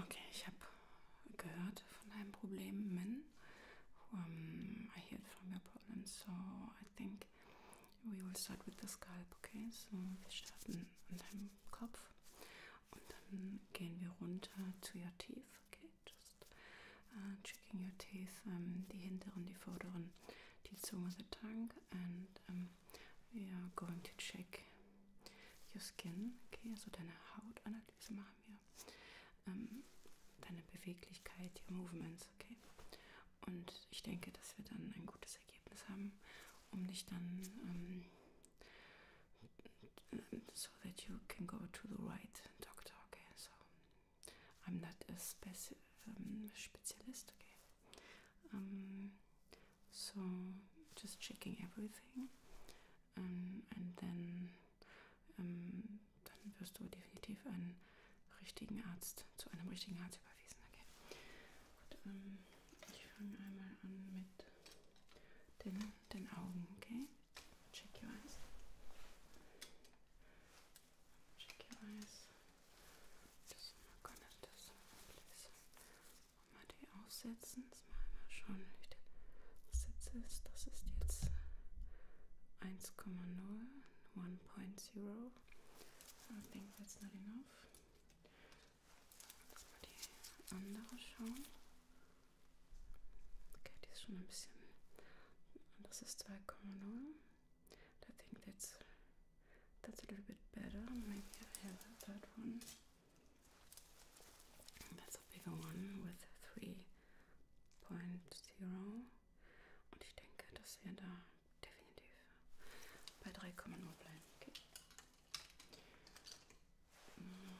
Okay, ich habe gehört von deinem Problem, Min. Um, I heard from your problem, so I think we will start with the scalp, okay? So, wir starten an deinem Kopf und dann gehen wir runter zu your teeth, okay? Just uh, checking your teeth, um, die hinteren, die vorderen, die Zunge, the tongue, and um, we are going to check Your Skin, okay, also deine Hautanalyse machen wir. Ähm, deine Beweglichkeit, your Movements, okay. Und ich denke, dass wir dann ein gutes Ergebnis haben, um dich dann ähm, so that you can go to the right doctor, okay. So I'm not a speci um, ähm, Spezialist, okay. Um, ähm, so just checking everything um, ähm, and then um, ähm, dann wirst du definitiv einen richtigen Arzt zu einem richtigen Arzt überwiesen. Okay. Gut, um, ähm, ich fange einmal an mit den, den Augen, okay? Check your eyes. Check your eyes. Just gonna do this, please. Mal die aufsetzen. Das machen wir schon. Das jetzt ist, das ist jetzt 1,0, 1.0. Das Ding setzen wir hinauf. Lass mal die andere schauen. Okay, die ist schon ein bisschen. Das ist 2,0. I think that's that's a little bit better. Maybe I have a third one. That's a bigger one with 3.0. Und ich denke, dass wir da definitiv bei 3,0 bleiben. Okay. Mm.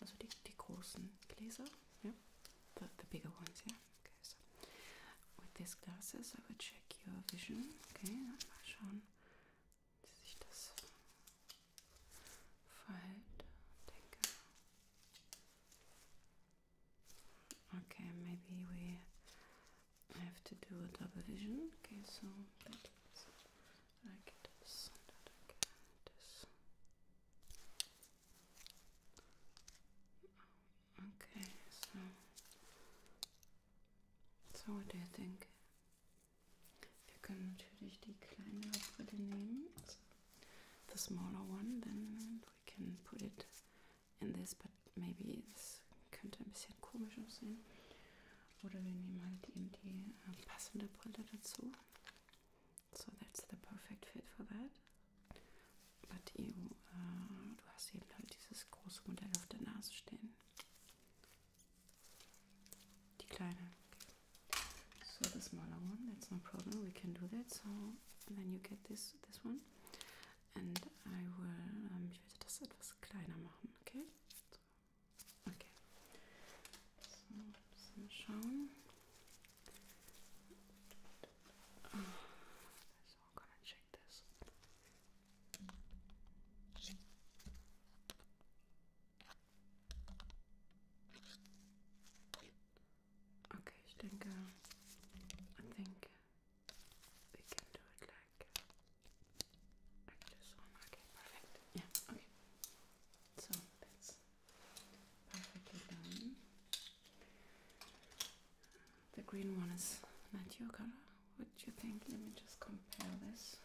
Also die, die großen Gläser, yeah? the, the bigger ones, yeah? Okay, so with these glasses I will check your vision, okay? Mal schauen, Okay, maybe we have to do a double vision. Okay, so like this. Okay, so so what do you think? Wir können natürlich die kleinere Brille nehmen, also the smaller one, then we can put it in this, but maybe es könnte ein bisschen komisch aussehen. Oder wir nehmen halt eben die äh, passende Brille dazu. So that's the perfect fit for that. But you, äh, du hast eben halt dieses große Modell auf der Nase stehen. Die kleine. So the smaller one, that's no problem. We can do that. So then you get this, this one. And I will, ähm, ich werde das etwas kleiner machen, okay? So. Okay. So, müssen schauen. so I'm gonna check this. Okay, ich uh, denke, I think we can do it like like this one. Okay, perfect. Yeah, okay. So that's perfectly done. The green one is not your color. What do you think? Let me just compare this.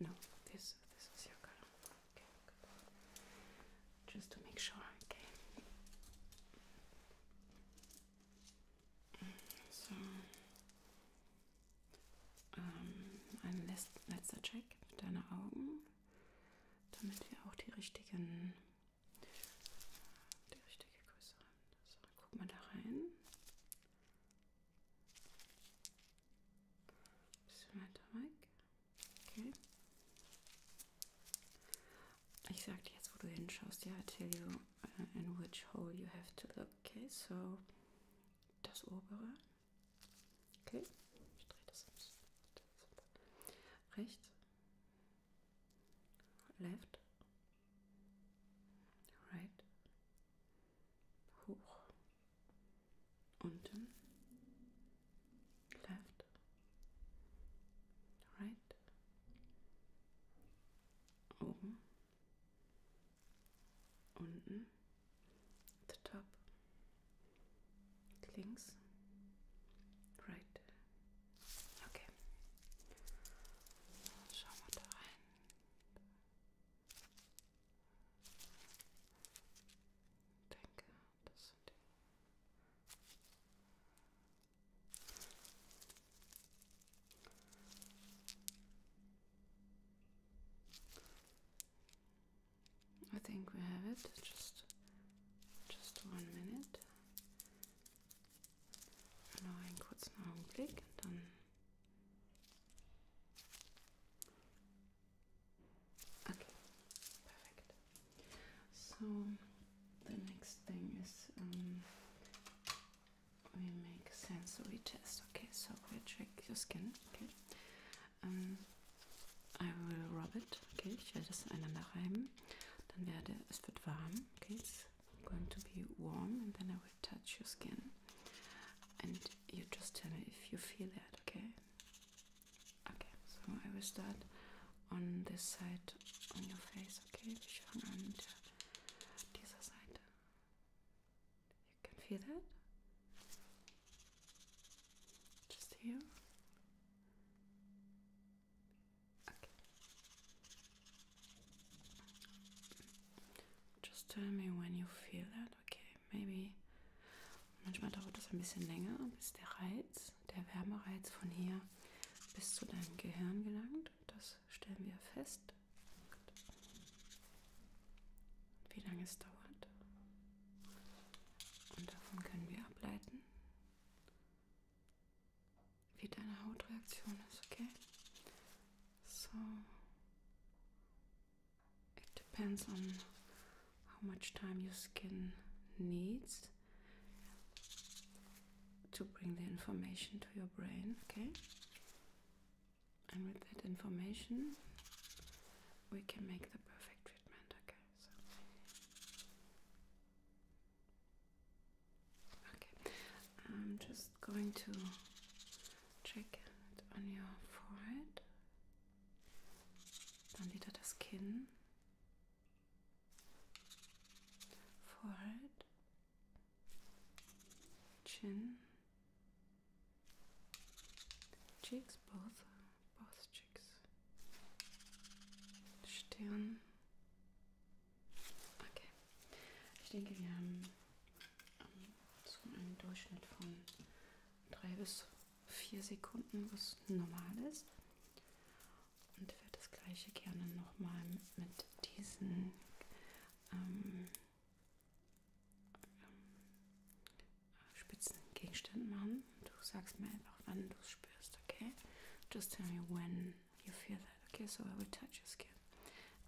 No, this this is your color. Okay, Just to make sure. Okay. Mm, so, ähm, um, ein letzter Check. Deine Augen, damit wir auch die richtigen Die richtige Größe. So, dann guck mal da rein. Ein bisschen weiter weg. Okay. Ich sag dir jetzt, wo du hinschaust. Ja, I tell you uh, in which hole you have to look. Okay, so das obere. Okay, ich drehe das, das Rechts. left, right, hoch, unten, left, right, oben, unten, the top, links, right. Okay. Schauen wir da rein. I think we have it. Just just one minute. Noch einen kurzen Augenblick, dann. Okay, perfect. So the next thing is um, we make a sensory test. Okay, so we check your skin. Okay, um, I will rub it. Okay, ich werde das aneinander reiben. Then Dann werde es warm. Okay, it's going to be warm, and then I will touch your skin, and you just tell me if you feel that. Okay. Okay. So I will start on this side on your face. Okay. Ich fange an mit this side. You can feel that. Just here. Okay. Just tell me when you feel that. Okay, maybe. Manchmal dauert das ein bisschen länger, bis der Reiz, der Wärmereiz von hier bis zu deinem Gehirn gelangt. Das stellen wir fest. Wie lange es dauert. Und davon können wir ableiten, it depends on how much time your skin needs to bring the information to your brain, okay? And with that information, we can make the perfect treatment, okay? Okay, I'm just going to check it on your forehead. Dann wieder das Kinn. Forehead. Chin. Cheeks both. Both Chicks. Stirn. Okay. Ich denke, wir haben ähm, so einen Durchschnitt von 3 bis 4 Sekunden, was normal ist. Und werde das gleiche gerne nochmal mit diesen ähm, ähm, spitzen Gegenständen machen. Du sagst mir einfach, wann du es spürst, okay? Just tell me when you feel that, okay? So I will touch your skin.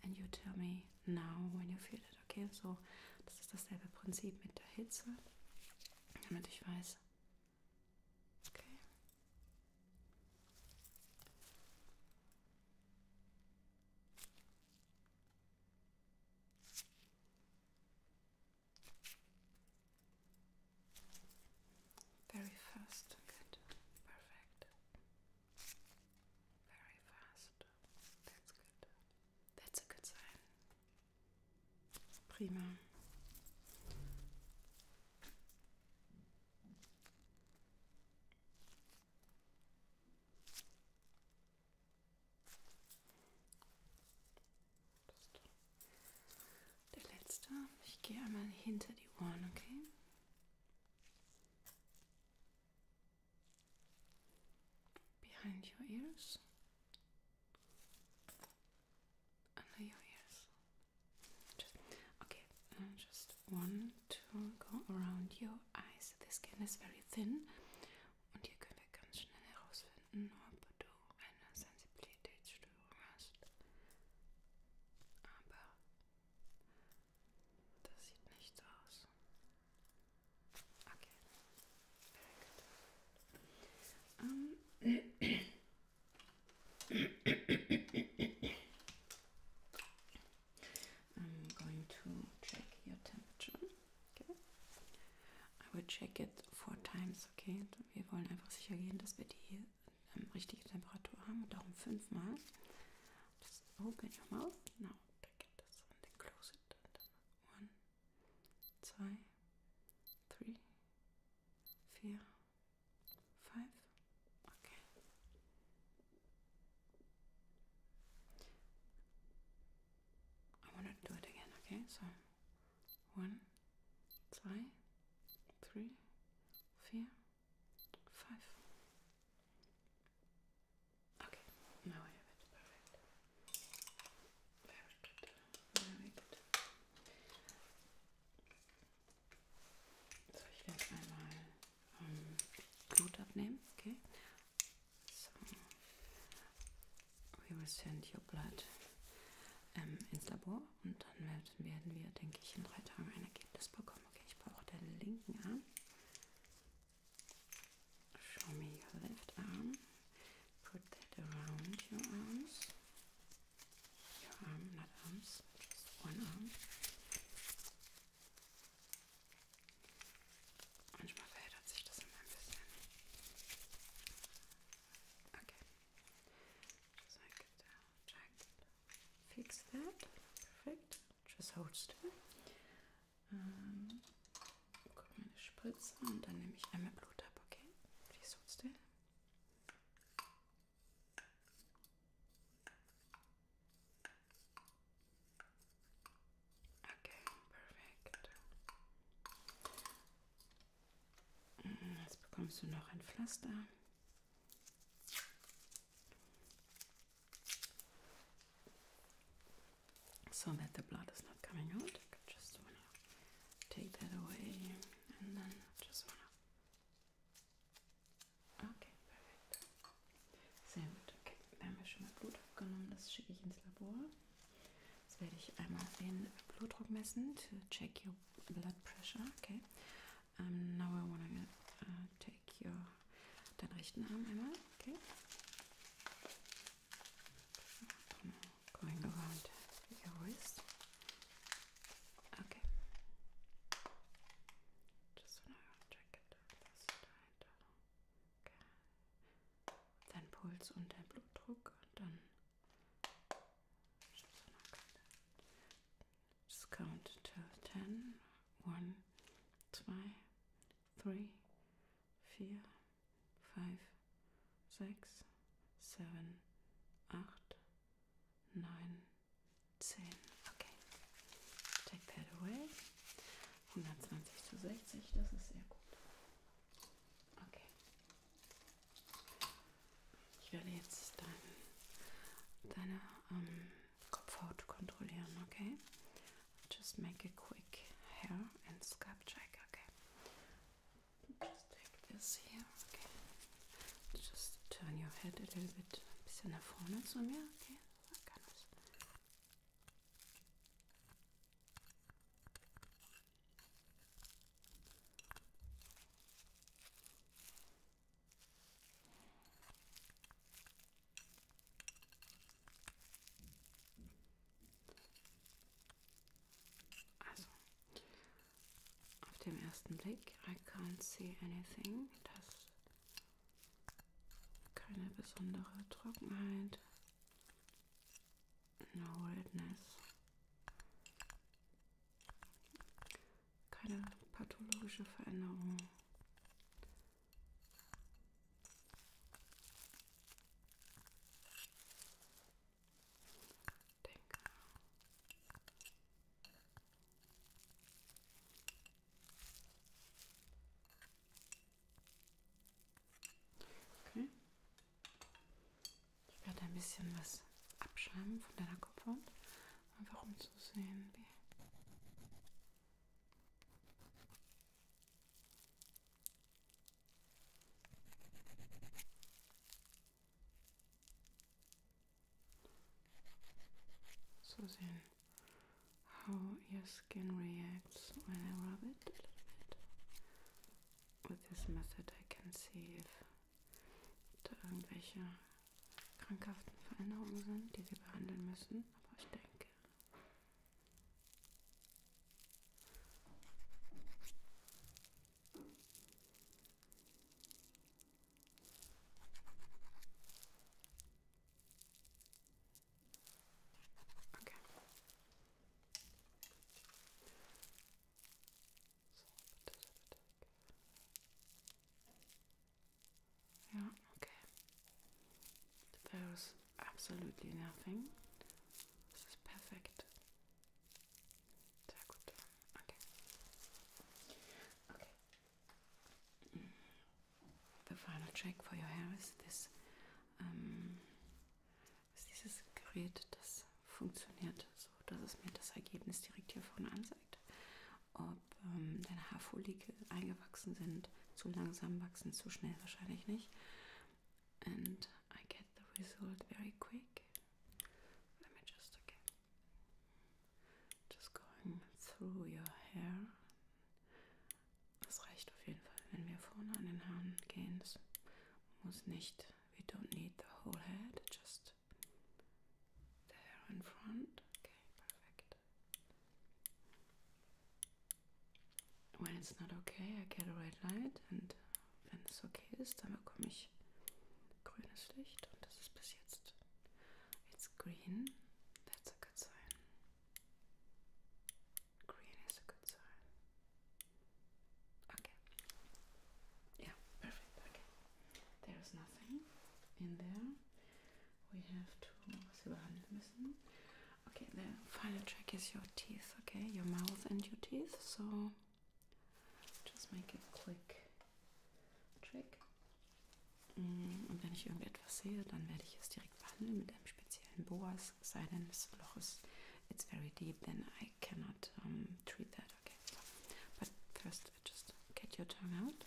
And you tell me now when you feel it, okay? So, das ist dasselbe Prinzip mit der Hitze, damit ich weiß. Okay. Very fast, good, perfect. Very fast, that's good. That's a good sign. Prima. Das der letzte. Ich gehe einmal hinter die Ohren, okay? Behind your ears. Under your ears. Just, okay, uh, just one, two, go around your eyes. The skin is very thin. Und hier können wir ganz schnell herausfinden, ob du eine Sensibilitätsstörung hast. Aber das sieht nicht so aus. Okay. Um. I'm going to check your temperature. Okay. I will check it four times. Okay wir wollen einfach sicher gehen, dass wir die ähm, richtige Temperatur haben und darum fünfmal. Just open your mouth. Now genau, take this and then close it. And then one, zwei, three, vier, five. Okay. I want to do it again, okay? So One, zwei, drei, vier, five. Okay, now I have it perfect. Very good, very good. So, ich werde einmal ähm, Blut abnehmen, okay? So wir müssen Joblad ähm, ins Labor und dann werden wir, denke ich, in drei Tagen ein Ergebnis bekommen. Okay, ich brauche den linken Arm. Show me your left arm. Put that around your arms. Your arm, not arms, just one arm. Manchmal verändert sich das immer ein bisschen. Okay. Just like down, check. Fix that. Perfekt. Just hold still. Ähm, guck meine Spritze und dann nehme ich einmal Blut ab, okay? Please hold still. Okay, perfekt. Mm, jetzt bekommst du noch ein Pflaster. So that the blood is not coming out. I just wanna take that away and then just wanna Okay, perfekt. Sehr gut. Okay, da haben wir schon mal Blut abgenommen. Das schicke ich ins Labor. Jetzt werde ich einmal den Blutdruck messen to check your blood pressure. Okay. Um, now I wanna uh, take your deinen rechten Arm einmal. Okay. I'm going around your wrist. Okay. Just wanna check it. This side. Okay. Dein Puls und dein Blutdruck und dann Just count till 10. 1, 2, 3, 4, 5, 6, 7, 8, 9, 10. Okay. Take that away. 120 zu 60, das ist sehr gut. Okay. Ich werde jetzt dein, deine ähm, Kopfhaut kontrollieren, okay? Just make a quick hair and scalp check, okay? Just take this here, okay? Just turn your head a little bit, ein bisschen nach vorne zu mir, okay? So kann also, auf dem ersten Blick, I can't see anything. Das keine besondere Trockenheit, Holdness. Keine pathologische Veränderung. Denke. Okay. Ich werde ein bisschen was abschreiben von deiner Kopfhaut, einfach um zu sehen, wie. So sehen how your skin reacts when I rub it a little bit. With this method I can see if da irgendwelche krankhaften Veränderungen sind, die wir behandeln müssen. Aber ich denke, Okay. Yeah, okay. There absolutely nothing. This is perfect. Okay. Okay. the final check for your hair ist das, ähm, ist dieses Gerät, das funktioniert so, dass es mir das Ergebnis direkt hier vorne anzeigt. Ob ähm, deine Haarfollikel eingewachsen sind, zu langsam wachsen, zu schnell wahrscheinlich nicht. And I get the result very quick. Let me just okay. Just going through your hair. Das reicht auf jeden Fall, wenn wir vorne an den Haaren gehen. Das muss nicht. We don't need the whole head, just the hair in front. Okay, perfect. When it's not okay, I get a red light. Und wenn es okay ist, dann bekomme ich grünes Licht. Und das ist bis jetzt. It's green. That's a good sign. Green is a good sign. Okay. Yeah, perfect. Okay. There's nothing in there. We have to Okay, the final check is your teeth, okay? Your mouth and your teeth. So just make a quick check. Mm, und wenn ich irgendetwas sehe, dann werde ich es direkt behandeln mit einem speziellen Boas. Es sei denn, das Loch ist it's very deep, then I cannot um, treat that. Okay, so. but first, just get your tongue out.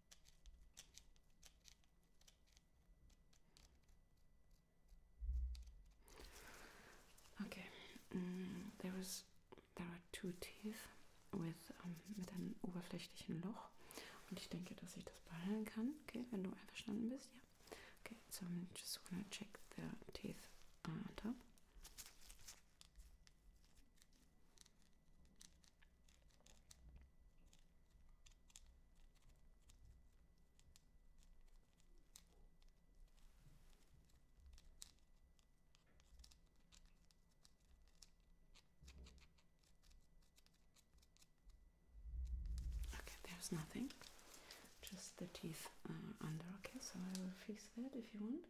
Okay, mm, there is there are two teeth with um, ähm, mit einem oberflächlichen Loch und ich denke, dass ich das behandeln kann. Okay, wenn du einverstanden bist, ja. Okay, so I'm just gonna check the teeth on ah, top. Okay, there's nothing, just the teeth uh, under. Okay, so I will fix that if you want.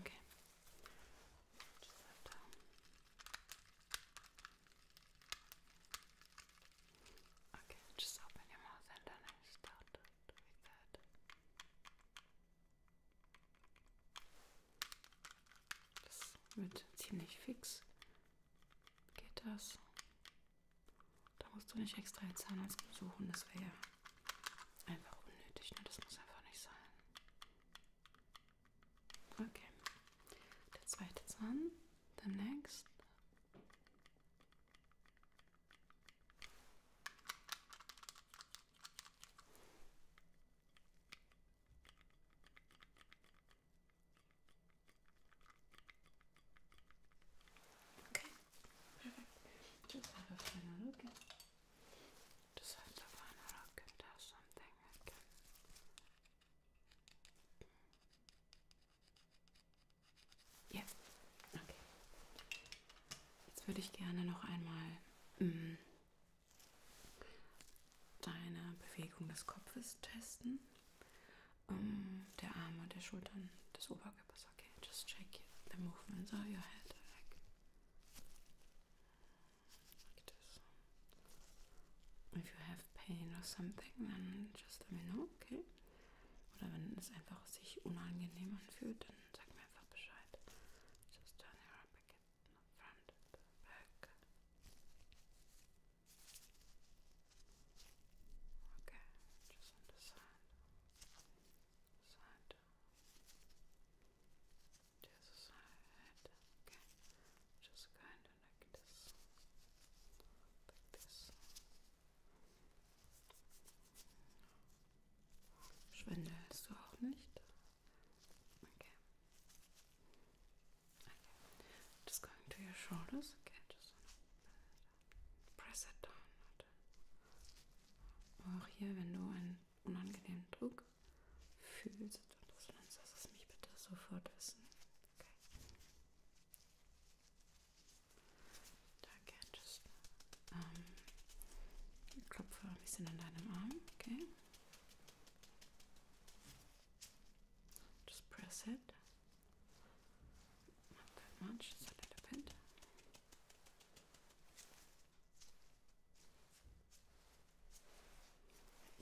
Okay. Just that down. Okay, just open your mouth and then I start it with that. Das wird ziemlich fix. Geht das? Da musst du nicht extra einen Zahnarzt besuchen, das wäre ja Einfach unnötig, ne? Das muss einfach nicht sein. Okay. Der zweite Zahn. The next. Okay. Perfect. Just have a final look. Just have a final look and there's something I can. Ja, yeah. okay. Jetzt würde ich gerne noch einmal mh, mm, deine Bewegung des Kopfes testen, um, der Arme, der Schultern, des Oberkörpers. It's okay, just check it, the movements of your head like, like this. If you have pain or something, then just let me know, okay? Oder wenn es einfach sich unangenehm anfühlt, dann sag mir einfach Bescheid. Just turn your up again, front, back. Okay, just on the side. Das ist halt. Das ist halt. Okay. Just kind of like this. Like this. Schwindelst du auch nicht? Okay. Okay. Just going to your shoulders. Okay, just on press it down. auch hier, wenn du einen unangenehmen Druck fühlst und das Lenz, lass es mich bitte sofort wissen. Okay. Danke, just ähm, ich klopfe ein bisschen an deinem Arm, okay? Just press it that much, just a little bit.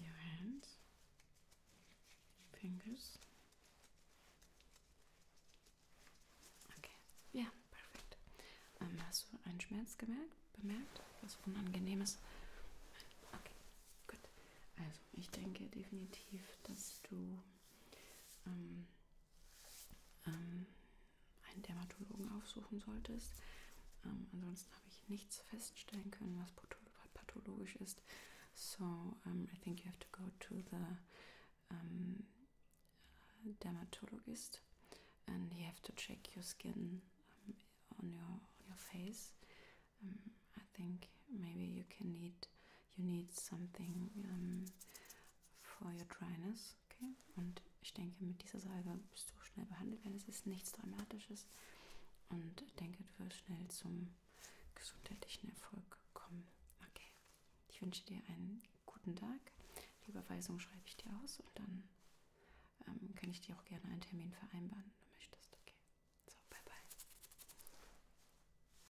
Your hands, fingers. Okay, ja, perfekt. Ähm, hast du einen Schmerz gemerkt, bemerkt? Was Unangenehmes? Okay, gut. Also, ich denke definitiv, dass du ähm, ähm, einen Dermatologen aufsuchen solltest. Ähm, ansonsten habe ich nichts feststellen können, was pathologisch ist. So, um, ähm, I think you have to go to the um, ähm, dermatologist and you have to check your skin um, on your on your face. Um, I think maybe you can need you need something um, for your dryness. Okay? Und ich denke, mit dieser Salbe bist du schnell behandelt werden. Es ist nichts Dramatisches. Und ich denke, du wirst schnell zum gesundheitlichen Erfolg kommen. Okay. Ich wünsche dir einen guten Tag. Die Überweisung schreibe ich dir aus und dann ähm, kann ich dir auch gerne einen Termin vereinbaren, wenn du möchtest. Okay. So, bye bye.